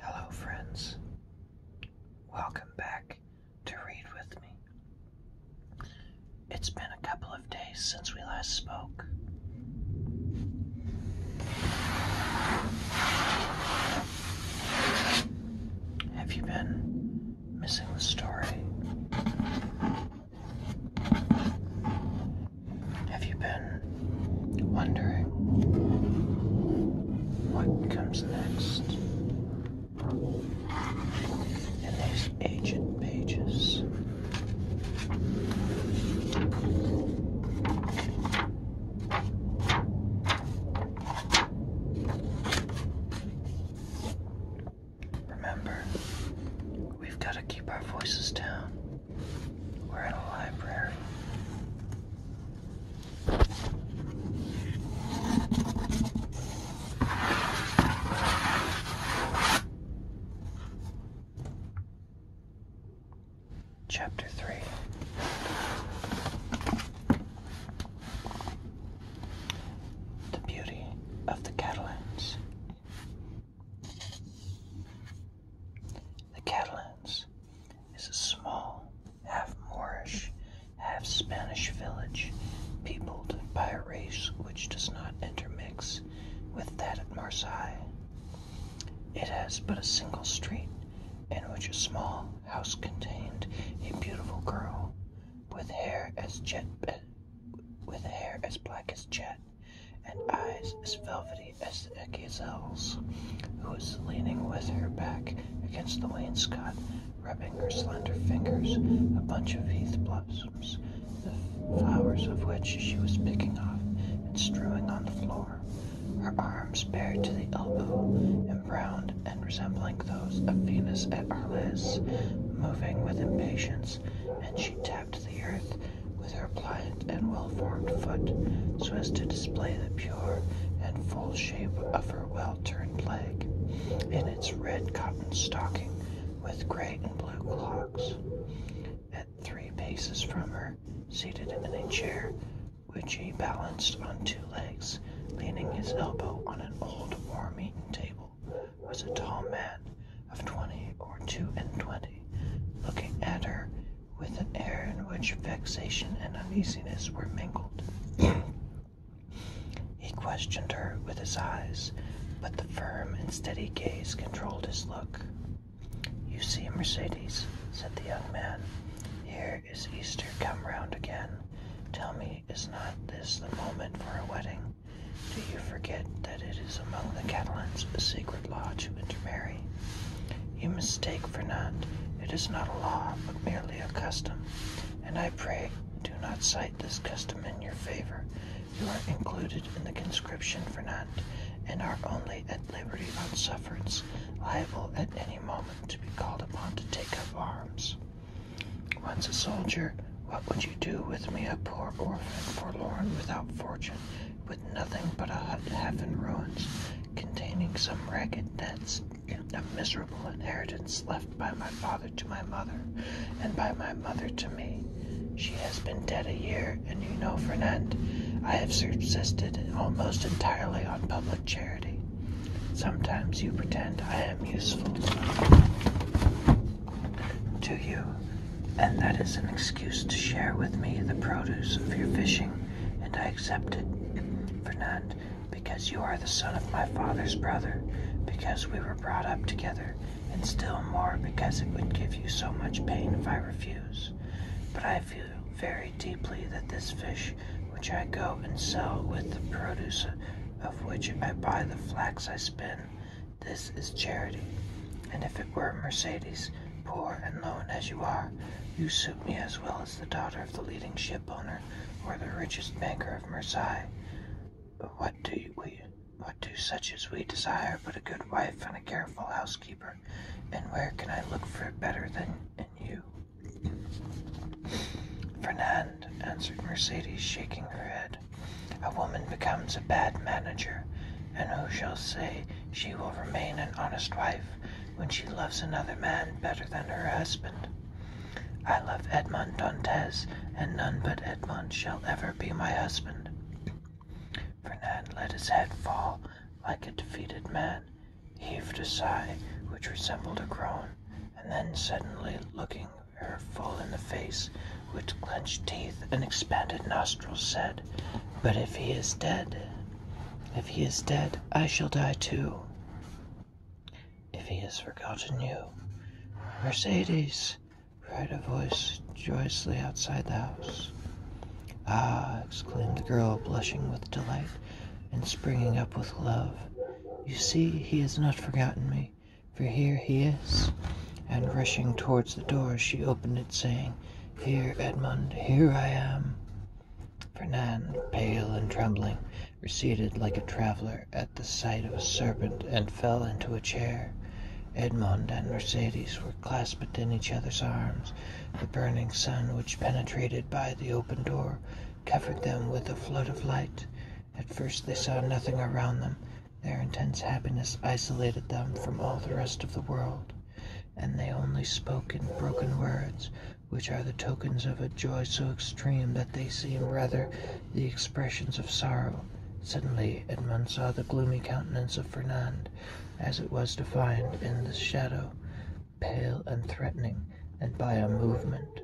Hello, friends. Welcome back to Read With Me. It's been a couple of days since we last spoke. Have you been missing the story. Have you been wondering what comes next in these aged pages? Remember, we've got to keep our voices down. We're in a library. Chapter 3 the beauty of the Catalans. The Catalans is a small, half Moorish, half Spanish village peopled by a race which does not intermix with that at Marseille. It has but a single street in which a small house contained a beautiful girl with hair as jet with hair as black as jet, and eyes as velvety as a gazelle's, who was leaning with her back against the wainscot, rubbing her slender fingers a bunch of heath blossoms, the flowers of which she was picking off and strewing on the floor, her arms bared to the elbow and browned and resembling those of Venus at Arles, moving with impatience, and she tapped the earth with her pliant and well-formed foot so as to display the pure and full shape of her well-turned leg in its red cotton stocking with gray and blue clogs. At three paces from her, seated in a chair, which she balanced on two legs, leaning his elbow on an old worm-eaten table, was a tall man of twenty or two and twenty, looking at her with an air in which vexation and uneasiness were mingled. he questioned her with his eyes, but the firm and steady gaze controlled his look. You see, Mercedes, said the young man, here is Easter come round again. Tell me is not this the moment for a wedding? Do you forget that it is among the Catalans a sacred law to intermarry? You mistake, Fernand. It is not a law, but merely a custom. And I pray, do not cite this custom in your favor. You are included in the conscription, Fernand, and are only at liberty on sufferance, liable at any moment to be called upon to take up arms. Once a soldier, what would you do with me, a poor orphan, forlorn, without fortune, with nothing but a hut half in ruins, containing some ragged nets, a miserable inheritance left by my father to my mother, and by my mother to me? She has been dead a year, and you know, for an end, I have subsisted almost entirely on public charity. Sometimes you pretend I am useful to you, and that is an excuse to share with me the produce of your fishing, and I accept it, Fernand, because you are the son of my father's brother, because we were brought up together, and still more because it would give you so much pain if I refuse. But I feel very deeply that this fish which I go and sell with the produce of which I buy the flax I spin. This is charity. And if it were Mercedes, poor and lone as you are, you suit me as well as the daughter of the leading shipowner or the richest banker of Marseilles. But what do we, what do such as we desire but a good wife and a careful housekeeper? And where can I look for it better than in you? Fernand, answered Mercedes, shaking her head, a woman becomes a bad manager, and who shall say she will remain an honest wife when she loves another man better than her husband? I love Edmond Dantès, and none but Edmond shall ever be my husband. Fernand let his head fall like a defeated man heaved a sigh which resembled a groan, and then suddenly looking her full in the face with clenched teeth and expanded nostrils said, But if he is dead, if he is dead, I shall die too. If he has forgotten you, Mercedes, cried a voice joyously outside the house. Ah, exclaimed the girl, blushing with delight and springing up with love. You see, he has not forgotten me, for here he is. And rushing towards the door, she opened it, saying, Here, Edmond! here I am. Fernand, pale and trembling, receded like a traveller at the sight of a serpent and fell into a chair. Edmond and Mercedes were clasped in each other's arms. The burning sun, which penetrated by the open door, covered them with a flood of light. At first they saw nothing around them. Their intense happiness isolated them from all the rest of the world, and they only spoke in broken words, which are the tokens of a joy so extreme that they seem rather the expressions of sorrow. Suddenly Edmund saw the gloomy countenance of Fernand, as it was defined in the shadow pale and threatening, and by a movement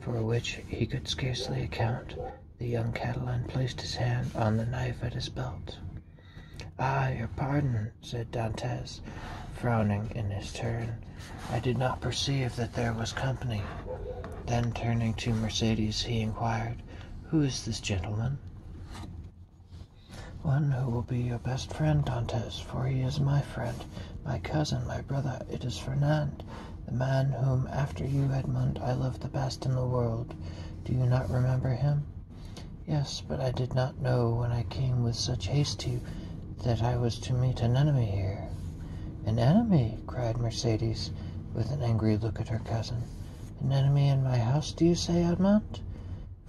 for which he could scarcely account, the young Catalan placed his hand on the knife at his belt. "Ah, your pardon," said Dantès, frowning in his turn. "I did not perceive that there was company." Then turning to Mercédès, he inquired, "Who is this gentleman?" "One who will be your best friend, Dantès, for he is my friend, my cousin, my brother, it is Fernand, the man whom, after you, Edmond, I love the best in the world. Do you not remember him? Yes, but I did not know when I came with such haste to that I was to meet an enemy here. An enemy? cried Mercedes, with an angry look at her cousin. An enemy in my house, do you say, Edmond?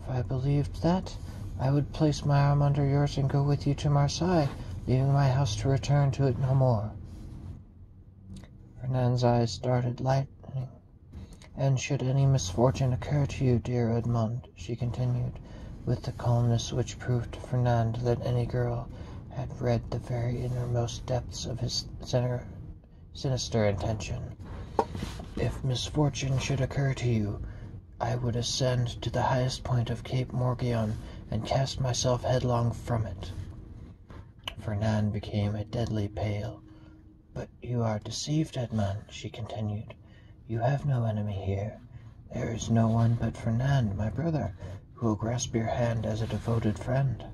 If I believed that, I would place my arm under yours and go with you to Marseilles, leaving my house to return to it no more. Fernand's eyes darted lightning. And should any misfortune occur to you, dear Edmond, she continued, with the calmness which proved to Fernand that any girl had read the very innermost depths of his sinister intention. If misfortune should occur to you, I would ascend to the highest point of Cape Morgion and cast myself headlong from it. Fernand became a deadly pale. But you are deceived, Edmond, she continued. You have no enemy here. There is no one but Fernand, my brother, who will grasp your hand as a devoted friend.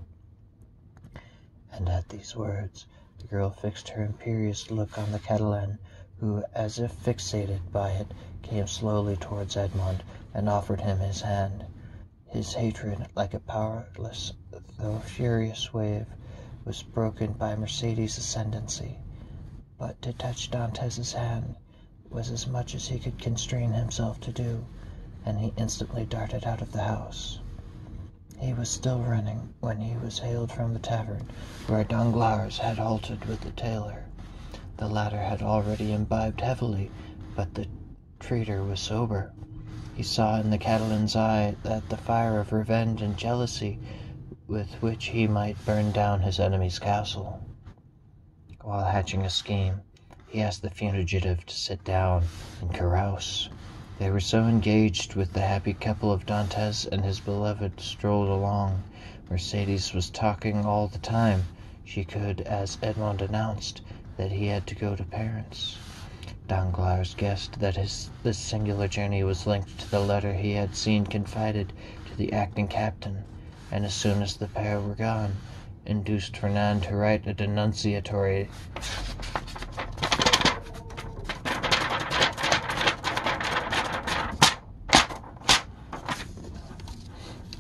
And at these words, the girl fixed her imperious look on the Catalan, who, as if fixated by it, came slowly towards Edmond and offered him his hand. His hatred, like a powerless though furious wave, was broken by Mercedes' ascendancy, but to touch Dantès' hand was as much as he could constrain himself to do, and he instantly darted out of the house. He was still running when he was hailed from the tavern, where Danglars had halted with the tailor. The latter had already imbibed heavily, but the traitor was sober. He saw in the Catalan's eye that the fire of revenge and jealousy with which he might burn down his enemy's castle. While hatching a scheme, he asked the fugitive to sit down and carouse. They were so engaged with the happy couple of Dantes and his beloved strolled along Mercedes was talking all the time. She could, as Edmond announced, that he had to go to parents. Danglars guessed that this singular journey was linked to the letter he had seen confided to the acting captain, and as soon as the pair were gone, induced Fernand to write a denunciatory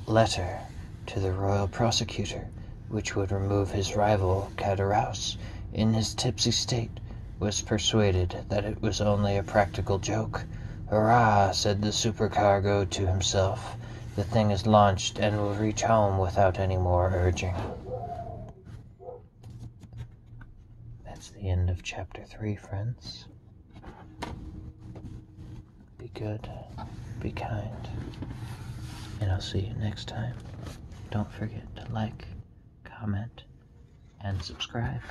letter to the royal prosecutor, which would remove his rival, Caderousse in his tipsy state, was persuaded that it was only a practical joke. Hurrah, said the supercargo to himself. The thing is launched and will reach home without any more urging. That's the end of chapter 3, friends. Be good, be kind, and I'll see you next time. Don't forget to like, comment, and subscribe.